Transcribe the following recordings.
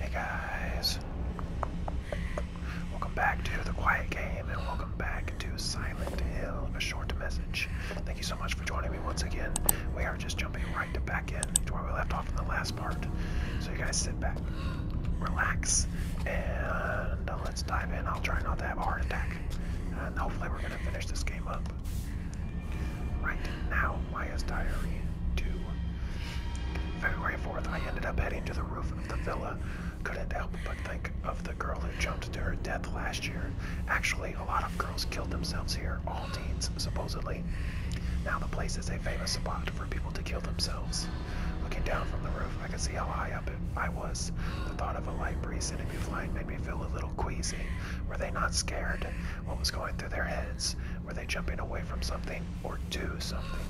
Hey guys, welcome back to The Quiet Game and welcome back to Silent Hill, a short message. Thank you so much for joining me once again. We are just jumping right to back in to where we left off in the last part. So you guys sit back, relax, and let's dive in. I'll try not to have a heart attack. And hopefully we're going to finish this game up. Right now, Maya's Diary 2. February 4th, I ended up heading to the roof of the villa. Couldn't help but think of the girl who jumped to her death last year. Actually, a lot of girls killed themselves here, all teens, supposedly. Now the place is a famous spot for people to kill themselves. Looking down from the roof, I could see how high up I was. The thought of a light breeze sending me flying made me feel a little queasy. Were they not scared? What was going through their heads? where they jumping away from something or do something?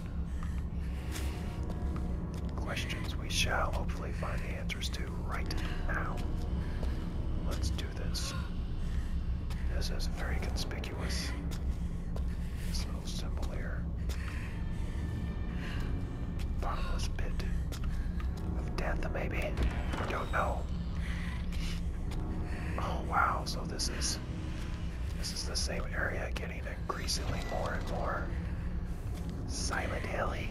Questions we shall hopefully find the answers to right now. Let's do this. This is very conspicuous. This little symbol here. Bottomless pit of death, maybe? I Don't know. Oh wow, this is this is the same area getting increasingly more and more silent hilly.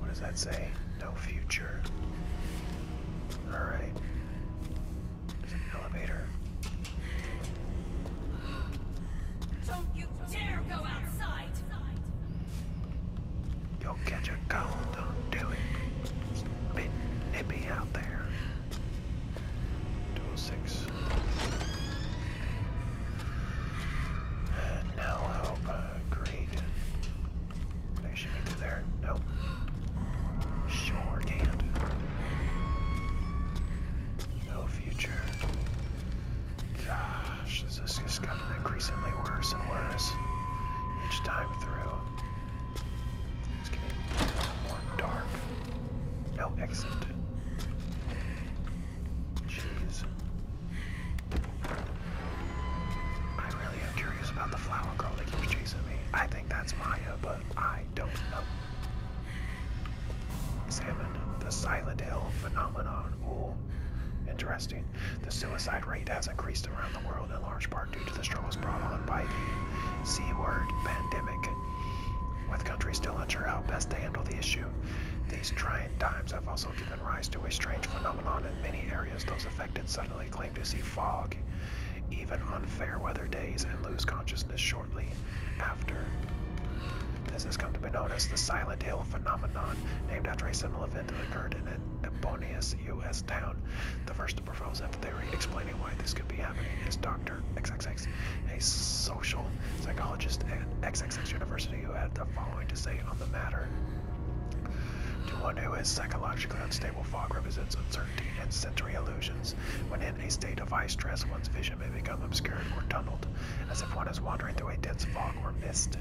What does that say? No future. Alright. There's an elevator. Don't you dare go outside! You'll catch a cold, don't do it. It's a bit nippy out there. 206. And now help, uh, greed. They should be through there. Nope. Sure can No future. God. Ah gosh, this just gotten increasingly worse and worse each time through. It's getting more dark. No exit. Jeez. I really am curious about the flower girl that keeps chasing me. I think that's Maya, but I don't know. Examine the Silent Hill phenomenon interesting. The suicide rate has increased around the world in large part due to the struggles brought on by the C word pandemic. With countries still unsure how best to handle the issue, these trying times have also given rise to a strange phenomenon in many areas. Those affected suddenly claim to see fog, even on fair weather days, and lose consciousness shortly after. This has come to be known as the Silent Hill phenomenon, named after a similar event that occurred in an U.S. town. The first to propose theory explaining why this could be happening is Dr. XXX, a social psychologist at XXX University, who had the following to say on the matter. To one who is psychologically unstable, fog represents uncertainty and sensory illusions. When in a state of high stress, one's vision may become obscured or tunneled, as if one is wandering through a dense fog or mist.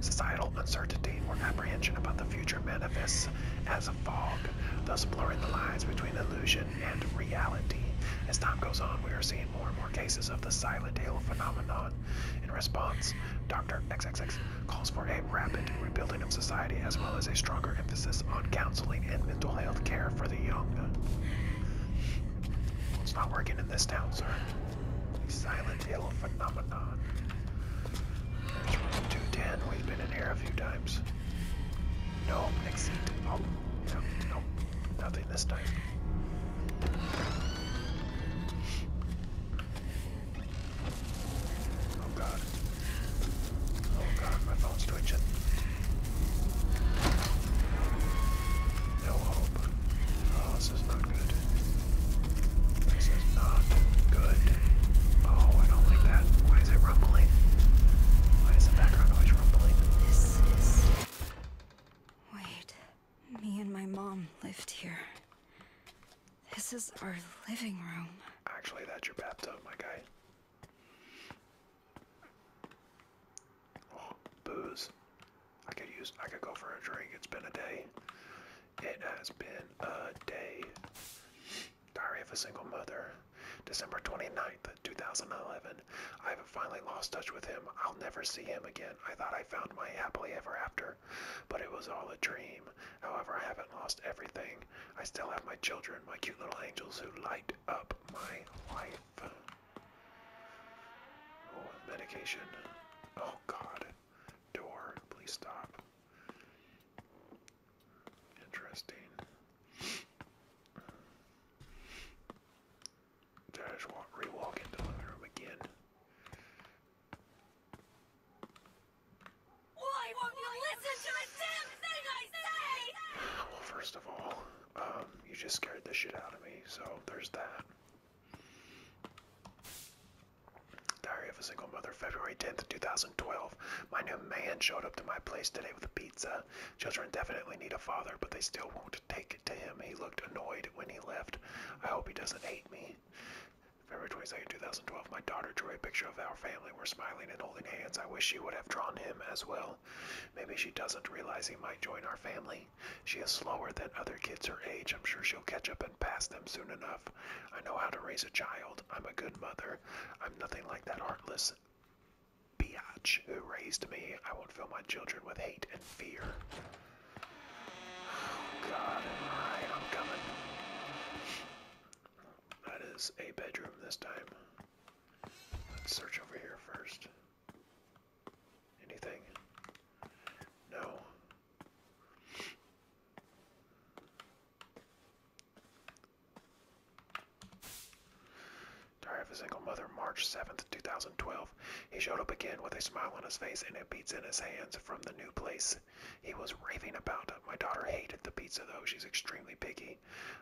Societal uncertainty or apprehension about the future manifests as a fog, thus blurring the lines between illusion and reality. As time goes on, we are seeing more and more cases of the silent halo phenomenon. In response, Dr. XXX calls for a rapid rebuilding of society as well as a stronger emphasis on counseling and mental health care for the young. it's not working in this town, sir. The Silent Hill phenomenon. This room's 210. We've been in here a few times. No, next seat. Oh, no, nothing this time. Oh god. Oh god, my phone's twitching. No hope. Oh, this is not good. This is not good. Oh, I don't like that. Why is it rumbling? Why is the background noise rumbling? This is. Wait. Me and my mom lived here. This is our living room. Actually, that's your bathtub, my guy. Oh, booze. I could use I could go for a drink. It's been a day. It has been a day. Diary of a Single Mother. December 29th, 2011. I have finally lost touch with him. I'll never see him again. I thought I found my happily ever after, but it was all a dream. However, I haven't lost everything. I still have my children, my cute little angels who light up my life. Oh, medication. Oh, God. Door, please stop. Interesting. Did I just rewalk into living room again? Why won't you listen to a damn thing I say? Well, first of all, um, you just scared the shit out of me, so there's that. Diary of a Single Mother, February 10th, 2012. My new man showed up to my place today with a pizza. Children definitely need a father, but they still won't take it to him. He looked annoyed when he left. I hope he doesn't hate me. February 22nd, 2012, my daughter drew a picture of our family. We're smiling and holding hands. I wish she would have drawn him as well. Maybe she doesn't realize he might join our family. She is slower than other kids her age. I'm sure she'll catch up and pass them soon enough. I know how to raise a child. I'm a good mother. I'm nothing like that heartless biatch who raised me. I won't fill my children with hate and fear. Oh God, I'm coming. That is a bedroom this time. Let's search over here first. Anything? No. Diary of a Single Mother, March 7th, 2012. He showed up again with a smile on his face and a pizza in his hands from the new place he was raving about. My daughter hated the pizza, though. She's extremely picky.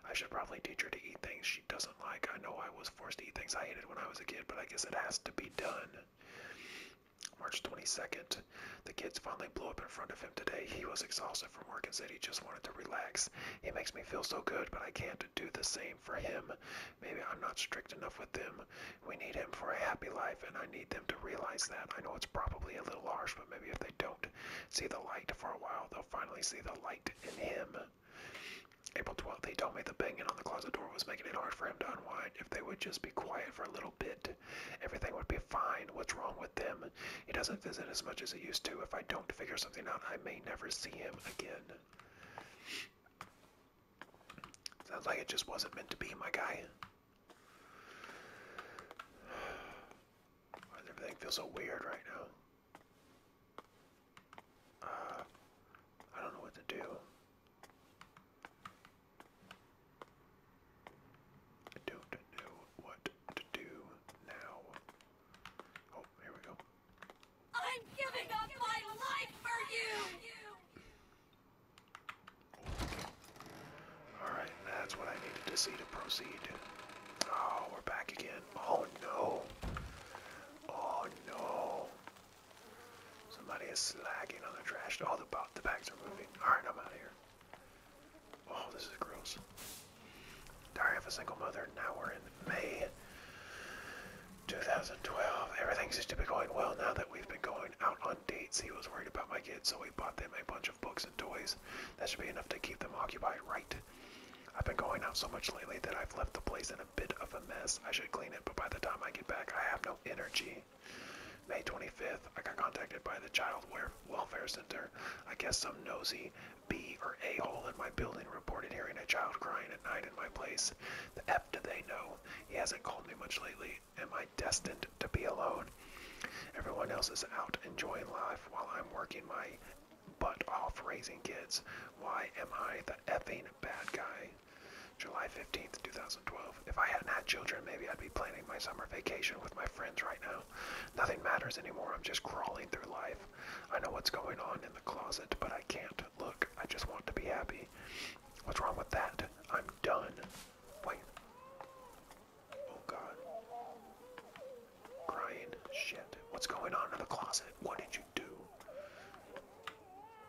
I should probably teach her to eat things she doesn't like. I know I was forced to eat things I hated when I was a kid, but I guess it has to be done. March 22nd, the kids finally blew up in front of him today. He was exhausted from work and said he just wanted to relax. He makes me feel so good, but I can't do the same for him. Maybe I'm not strict enough with them. We need him for a happy life, and I need them to realize that. I know it's probably a little harsh, but maybe if they don't see the light for a while, they'll finally see the light in him. April 12th, he told me the banging on the closet door was making it hard for him to unwind. If they would just be quiet for a little bit, everything would be fine. What's wrong with them? He doesn't visit as much as he used to. If I don't figure something out, I may never see him again. Sounds like it just wasn't meant to be, my guy. Why does everything feel so weird right now? Uh, I don't know what to do. I don't know what to do now. Oh, here we go. I'm giving up my life for you! Alright, that's what I needed to see to proceed. Oh, we're back again. Oh no. Oh no. Somebody is slacking on the trash. All oh, the, bags are moving. Alright, I'm out of here. Oh, this is gross. Diary of a Single Mother. Now we're in May 2012. Everything's just been going well now that we've been going out on dates. He was worried about my kids, so we bought them a bunch of books and toys. That should be enough to keep them occupied, right? I've been going out so much lately that I've left the place a bit of a mess. I should clean it, but by the time I get back, I have no energy. May 25th, I got contacted by the Child Welfare Center. I guess some nosy B or A hole in my building reported hearing a child crying at night in my place. The F do they know? He hasn't called me much lately. Am I destined to be alone? Everyone else is out enjoying life while I'm working my butt off raising kids. Why am I the effing bad guy. July 15th, 2012. If I hadn't had children, maybe I'd be planning my summer vacation with my friends right now. Nothing matters anymore. I'm just crawling through life. I know what's going on in the closet, but I can't look. I just want to be happy. What's wrong with that? I'm done. Wait. Oh god. Crying. Shit. What's going on in the closet? What did you do?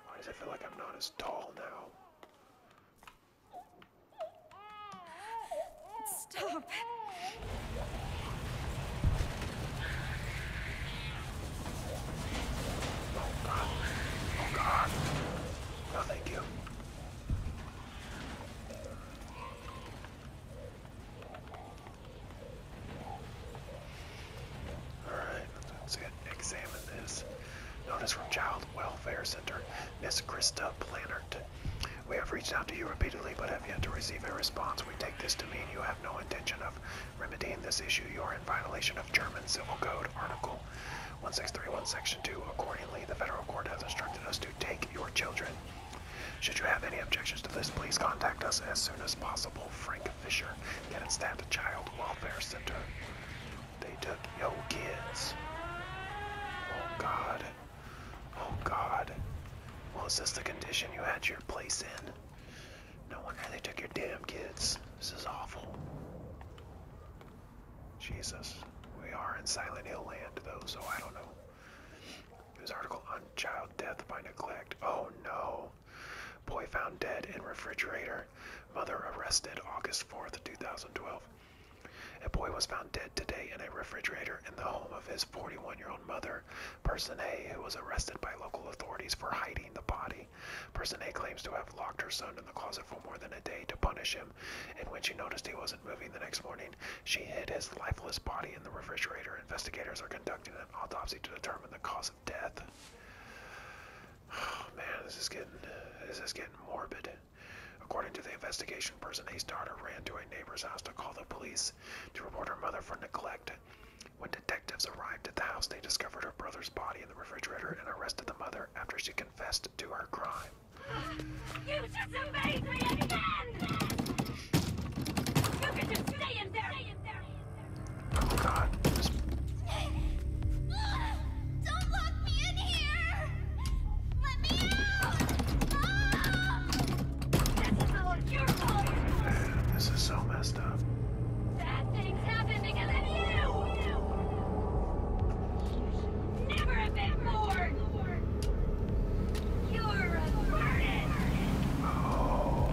Why does it feel like I'm not as tall now? Stop. Oh god. Oh god. No, thank you. Alright, let's examine this. Notice from Child Welfare Center, Miss Krista Plannert. We have reached out to you repeatedly but have yet to receive a response. We take this to mean you have no intention of remedying this issue. You are in violation of German Civil Code Article 1631 Section 2. Accordingly, the federal court has instructed us to take your children. Should you have any objections to this, please contact us as soon as possible. Frank Fisher can stabbed. the Child Welfare Center. They took yo kids. Oh God. Oh God. Well, is this the condition you had your place in? No wonder they took your damn kids. This is awful. Jesus. We are in Silent Hill land, though, so I don't know. This article on child death by neglect. Oh no. Boy found dead in refrigerator. Mother arrested August 4th, 2012. A boy was found dead today in a refrigerator in the home of his 41 year old mother, Person A, who was arrested by local authorities for hiding the body. Person A claims to have locked her son in the closet for more than a day to punish him, and when she noticed he wasn't moving the next morning, she hid his lifeless body in the refrigerator. Investigators are conducting an autopsy to determine the cause death. Oh man, this is getting this is getting morbid. According to the investigation person, A's daughter ran to a neighbor's house to call the police to report her mother for neglect. When detectives arrived at the house, they discovered her brother's body in the refrigerator and arrested the mother after she confessed to her crime. You just amazed me again! You can just Stay in there. Oh god. This... Don't lock me in here! Let me out! Ah! This is all your fault! Man, this is so messed up. Bad things happen because of you! Never a bit more! You're a burden! Oh.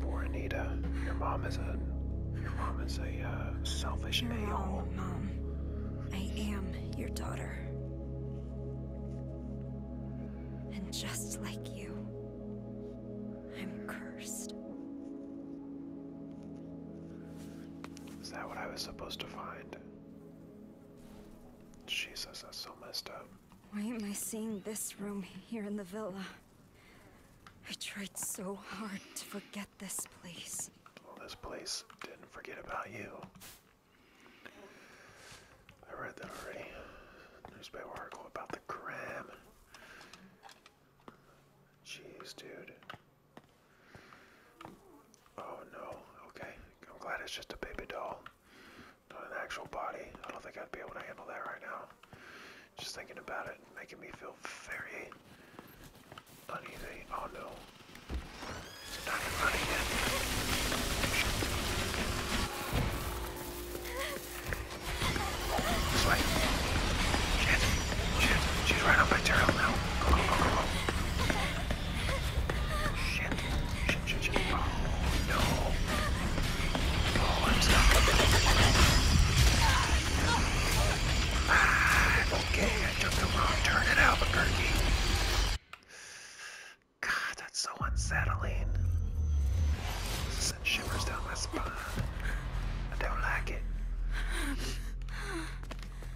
Poor Your mom is a your mom is a uh, selfish you I am your daughter. And just like you, I'm cursed. Is that what I was supposed to find? Jesus, that's so messed up. Why am I seeing this room here in the villa? I tried so hard to forget this place. Well, this place didn't forget about you. I read that already. Newspaper article about the gram. Jeez, dude. Oh no, okay. I'm glad it's just a baby doll. Not an actual body. I don't think I'd be able to handle that right now. Just thinking about it, making me feel very uneasy. Oh no. It's not running yet. This way. Shit. Shit. She's right up my tail now. Go, go, go, go, go. Shit. Shit, shit, shit. Oh, no. Oh, I'm stuck. Ah, okay, I took the wrong turn at Albuquerque. God, that's so unsettling. Send shivers down my spine. I don't like it.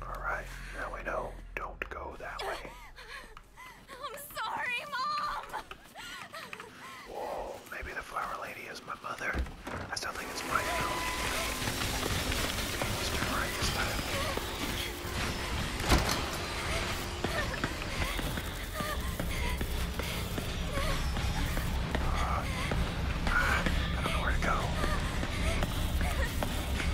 Alright, now we know. Don't go that way. I'm sorry, Mom! maybe the flower lady is my mother. I still think it's my fault. Uh, I don't know where to go.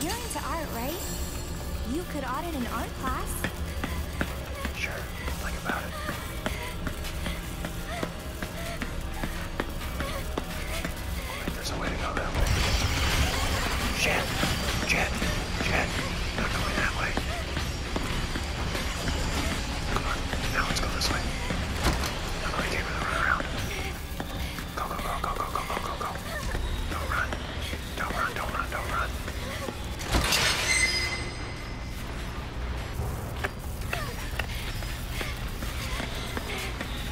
You're into art, right? You could audit an art class. Sure, think about it. there's a way to go that way. Jet, jet, jet. Not going that way. Come on, now let's go this way. Nobody came in the round. Go, go, go, go, go, go, go, go, go. Don't run. Don't run, don't run, don't run.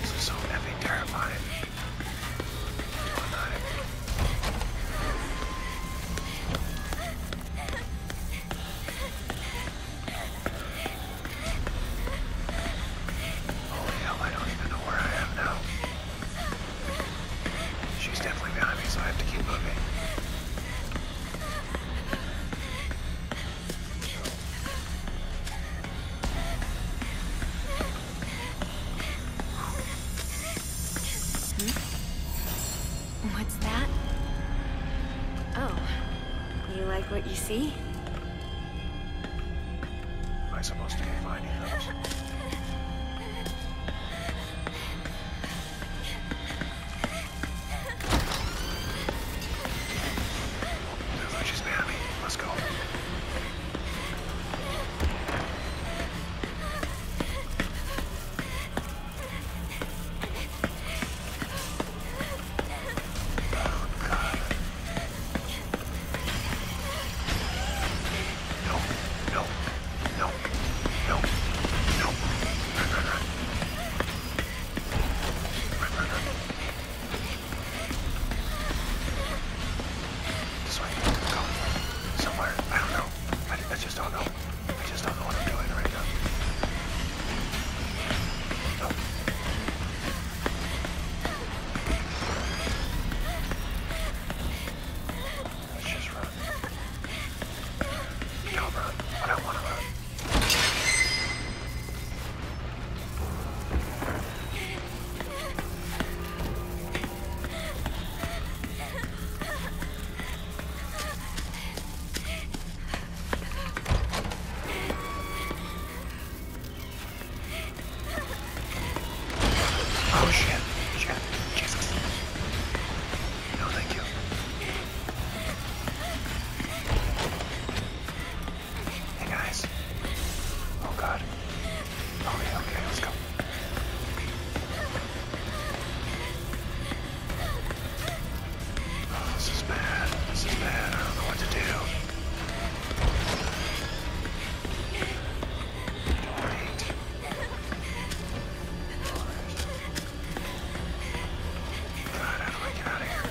This is so effing terrifying. You're alive. Holy hell, I don't even know where I am now. She's definitely behind me, so I have to keep moving. Hmm? What's that? Oh, you like what you see? Am I supposed to be finding those? This way. Go. Somewhere. I don't know. I, I just don't know. I just don't know what I'm doing right now. Oh. Let's just run. Don't run. I don't want to run. Oh shit, shit, Jesus. No thank you. Hey guys. Oh god. Oh yeah, okay, let's go. Oh, this is bad. This is bad. I don't know what to do. Great. God, how do I get out of here?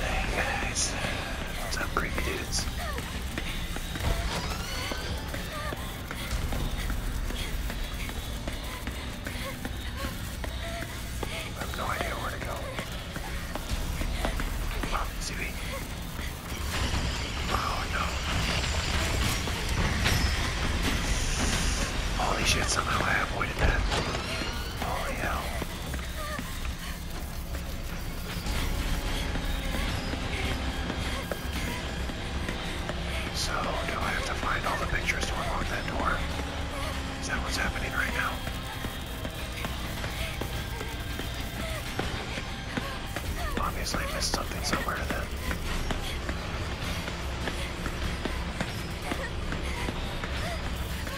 Hey guys, what's up creepy dudes? I have no idea where to go. Oh, Zooey. Oh no. Holy shit, somehow I avoided that. Holy hell. So, do I have to find all the pictures to unlock that door? Is that what's happening right now? Obviously I missed something somewhere then.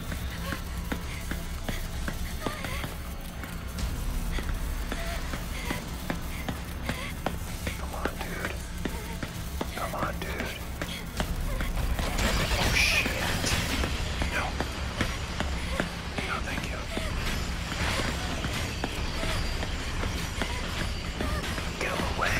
Come on, dude. Come on, dude. Oh, shit. No. No, thank you. Go away.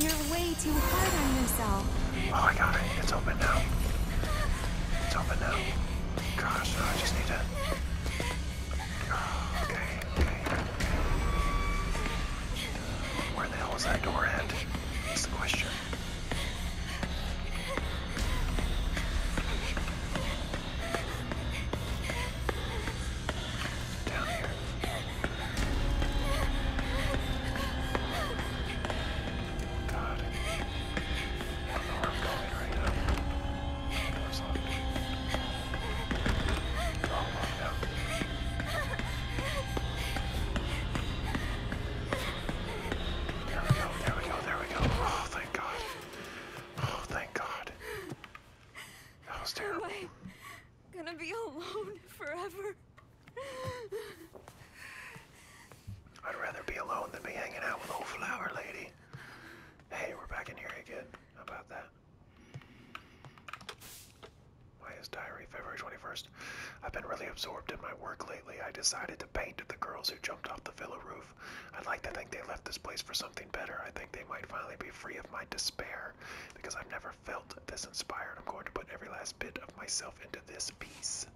You're way too hard on yourself. Oh, I got it. It's open now. It's open now. Gosh, I just need to... Oh, okay, okay, Where the hell is that door at? That's the question. Down here. God. I don't know where I'm going right now. The door's locked. They're all locked out. There we go, there we go, there we go. Oh, thank God. Oh, thank God. That was terrible. Am gonna be alone forever? I'd rather be alone than be hanging out with old flower lady. Hey, we're back in here again. How about that? Why is diary February 21st, i I've been really absorbed in my work lately. I decided to paint the girls who jumped off the villa roof. I'd like to think they left this place for something better. I think they might finally be free of my despair because I've never felt this inspired. I'm going to put every last bit of myself into this piece.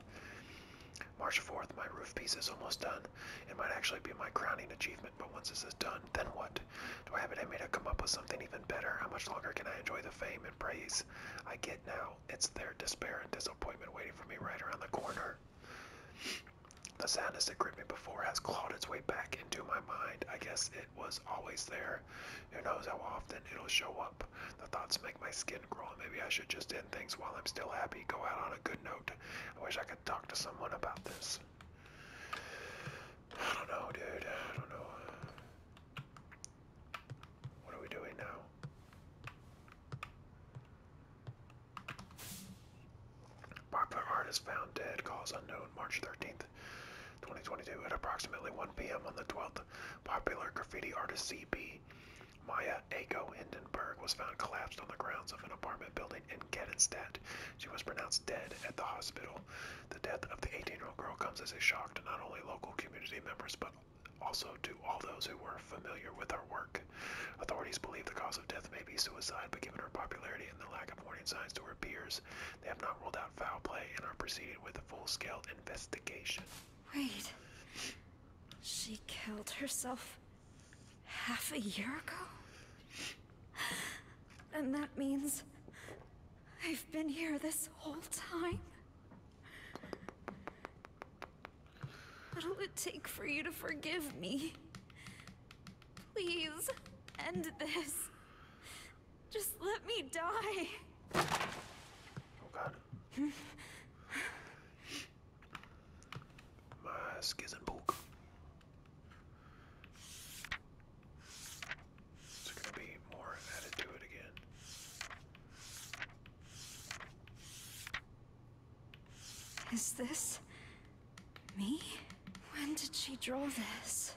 March 4th, my roof piece is almost done. It might actually be my crowning achievement, but once this is done, then what? Do I have it in me to come up with something even better? How much longer can I enjoy the fame and praise I get now? it's their despair and disappointment waiting for me right around the corner. The sadness that gripped me before has clawed its way back into my mind. I guess it was always there. Who knows how often it'll show up. The thoughts make my skin crawl. Maybe I should just end things while I'm still happy. Go out on a good note. I wish I could talk to someone about this. I don't know, dude. I don't know. What are we doing now? Popular artist found dead. Cause unknown. March 13th, 2022 at approximately 1 p.m. on the 12th. Popular graffiti artist CB Maya Aiko Hindenburg was found collapsed on the grounds of an apartment building in Kedenstadt. She was pronounced dead at the hospital. The death of the 18-year-old girl comes as a shock to not only local community members but also, to all those who were familiar with her work, authorities believe the cause of death may be suicide, but given her popularity and the lack of warning signs to her peers, they have not ruled out foul play and are proceeding with a full-scale investigation. Wait. She killed herself half a year ago? And that means I've been here this whole time? What'll it take for you to forgive me? Please, end this. Just let me die. Oh god. My schism book. gonna be more added to it again? Is this... me? When did she draw this?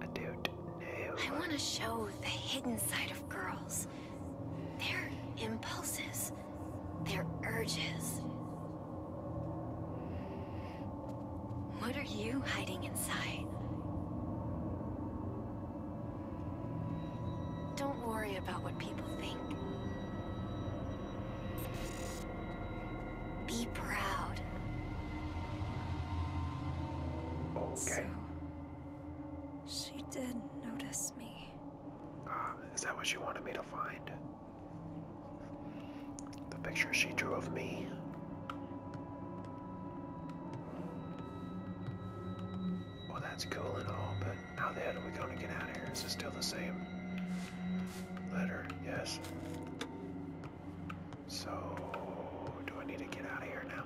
I don't know. I want to show the hidden side of girls. Their impulses. Their urges. What are you hiding inside? Don't worry about what people think. Be proud. Okay. she did not notice me. Uh, is that what she wanted me to find? The picture she drew of me? Well, that's cool and all, but how the hell are we going to get out of here? Is it still the same letter? Yes. So, do I need to get out of here now?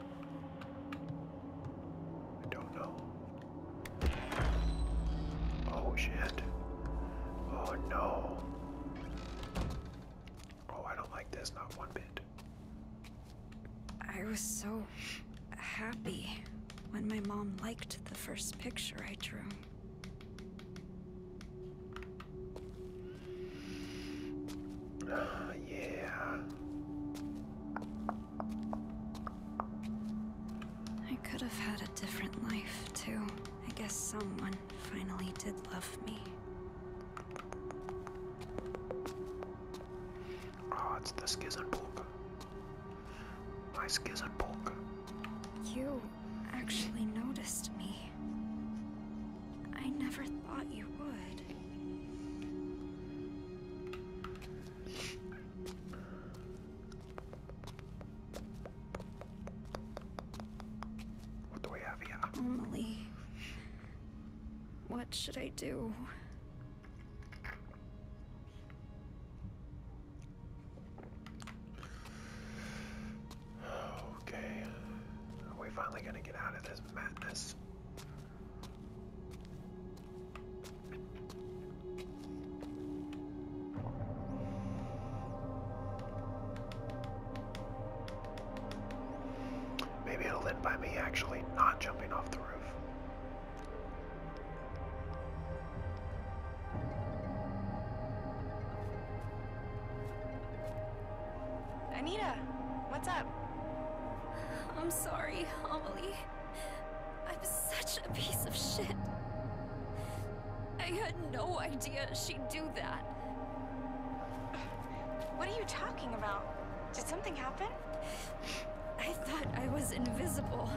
I don't know. Oh shit. Oh no. Oh, I don't like this, not one bit. I was so happy when my mom liked the first picture I drew. yeah. I could have had a different life, too. I guess someone finally did love me. Oh, it's the Skizen Polka. My Skizen Polka. You actually noticed me. I never thought you would. What do we have here? Only what should I do? Okay. Are we finally gonna get out of this madness? Maybe it'll end by me actually not jumping off the roof. Anita, what's up? I'm sorry, Amelie. I'm such a piece of shit. I had no idea she'd do that. What are you talking about? Did something happen? I thought I was invisible.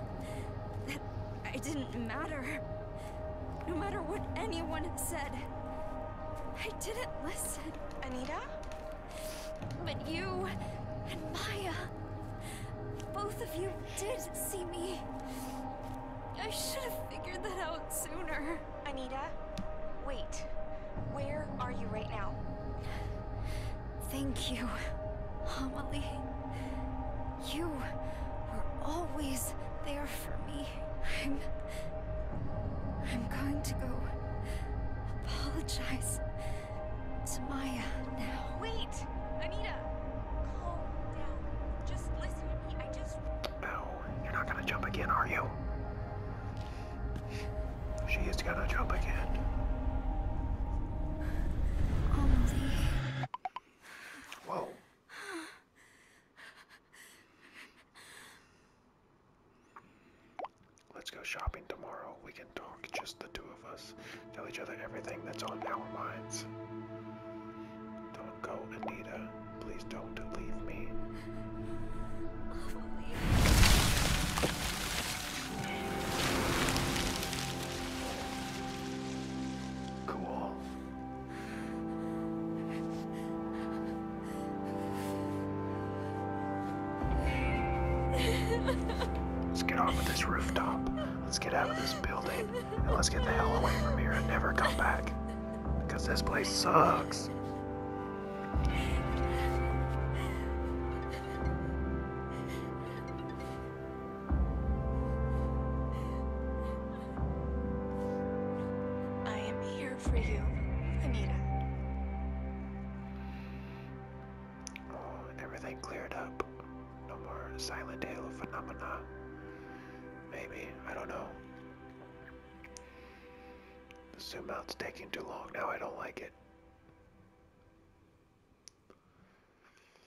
That I didn't matter. No matter what anyone said. I didn't listen. Anita? But you and Maya. Both of you did see me. I should have figured that out sooner. Anita? Wait. Where are you right now? Thank you, Amelie. You were always there for me. I'm... I'm going to go apologize to Maya now. Wait! Anita! Calm down. Just listen to me. I just... Ow. You're not gonna jump again, are you? She is gonna jump again. Only. Whoa. Let's go shopping tomorrow. We can talk, just the two of us. Tell each other everything that's on our minds. Don't go, Anita. Please don't leave me. Cool. Let's get off of this rooftop. Let's get out of this building. And let's get the hell away from here and never come back. Because this place sucks. I am here for you, Anita. Oh, everything cleared up. No more Silent Hill phenomena. Maybe, I don't know. The zoom out's taking too long now, I don't like it.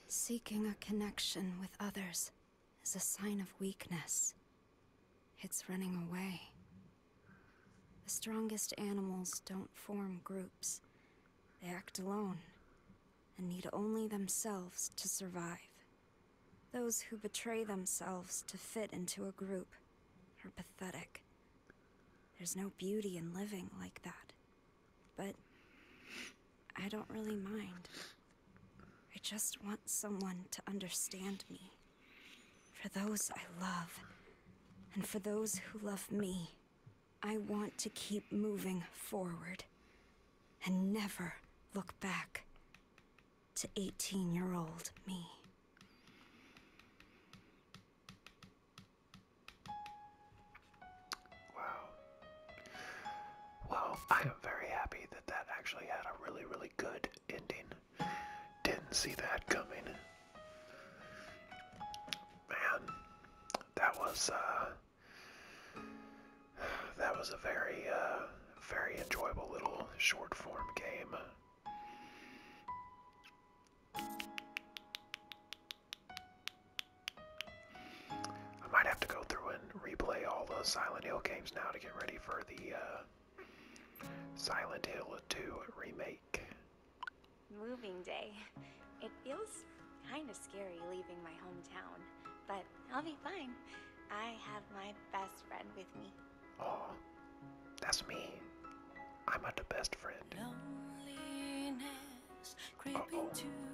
Seeking a connection with others is a sign of weakness. It's running away. The strongest animals don't form groups. They act alone and need only themselves to survive. Those who betray themselves to fit into a group are pathetic. There's no beauty in living like that. But I don't really mind. I just want someone to understand me. For those I love, and for those who love me, I want to keep moving forward and never look back to 18 year old me. Wow. Well, I am very happy that that actually had a really, really good ending. Didn't see that coming. Man, that was, uh, that was a very, uh, very enjoyable little short form game. I might have to go through and replay all the Silent Hill games now to get ready for the uh, Silent Hill 2 remake. Moving day. It feels kind of scary leaving my hometown but I'll be fine. I have my best friend with me. Oh, that's me. I'm not the best friend.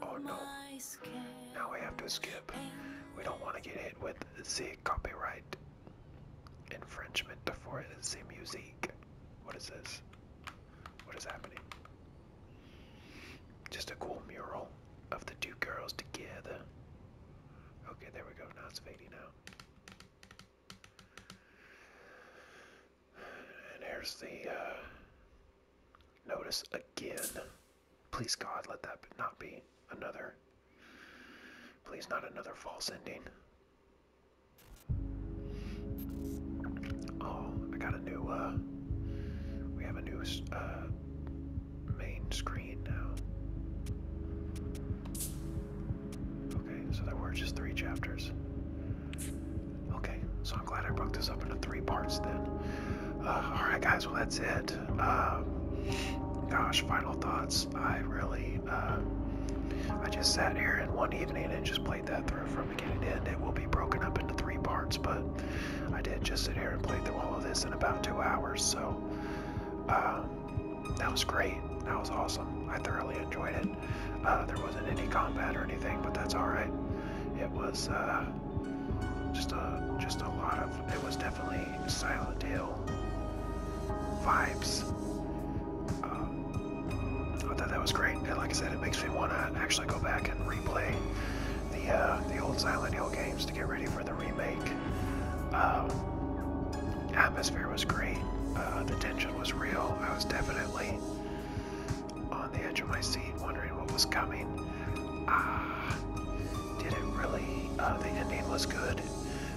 oh, no. Now we have to skip. We don't want to get hit with the copyright infringement for the music. What is this? What is happening? Just a cool mural of the two girls together. Okay, there we go. Now it's fading out. And here's the uh, notice again. Please, God, let that not be another. Please, not another false ending. Oh, I got a new. Uh, we have a new uh, main screen now. Okay, so there were just three chapters. Okay, so I'm glad I broke this up into three parts then. Uh, Alright, guys, well, that's it. Um, gosh, final thoughts. I really, uh, I just sat here and one evening and just played that through from beginning to end. It will be broken up into three parts, but I did just sit here and play through all of this in about two hours, so. Um, that was great. That was awesome. I thoroughly enjoyed it. Uh, there wasn't any combat or anything, but that's all right. It was uh, just a just a lot of. It was definitely Silent Hill vibes. Um, I thought that was great. And like I said, it makes me want to actually go back and replay the uh, the old Silent Hill games to get ready for the remake. Um, atmosphere was great. Uh, the tension was real. I was definitely on the edge of my seat, wondering what was coming. Ah, did it really? Uh, the ending was good.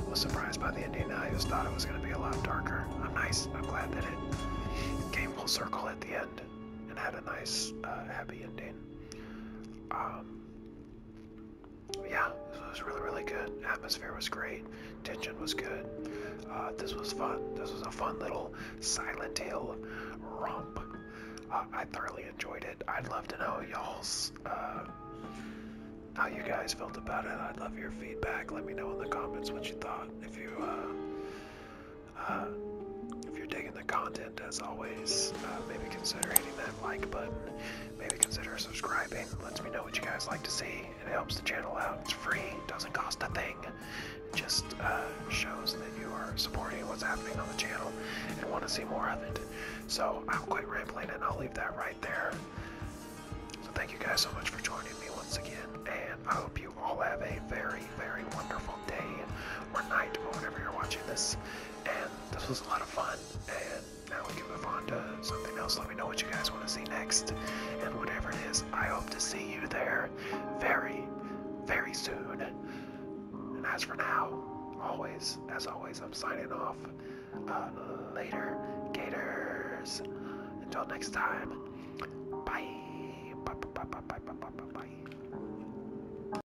Was surprised by the ending. I just thought it was going to be a lot darker. I'm nice. I'm glad that it came full circle at the end and had a nice, happy ending. Um, yeah, this was really, really good. Atmosphere was great. Tension was good. Uh, this was fun. This was a fun little Silent Hill romp. Uh, I thoroughly enjoyed it. I'd love to know y'all's uh, how you guys felt about it. I'd love your feedback. Let me know in the comments what you thought. If you if you're digging the content and as always, uh, maybe consider hitting that like button, maybe consider subscribing, lets me know what you guys like to see, it helps the channel out, it's free, doesn't cost a thing, it just uh, shows that you are supporting what's happening on the channel and want to see more of it. So I'll quit rambling and I'll leave that right there. So thank you guys so much for joining me once again, and I hope you all have a very, very wonderful day or night or whenever you're watching this. And this was a lot of fun. And now we can move on to something else. Let me know what you guys want to see next. And whatever it is, I hope to see you there very, very soon. And as for now, always, as always, I'm signing off. Uh, later, Gators. Until next time, bye. Bye. Bye. Bye. Bye. Bye. Bye. bye.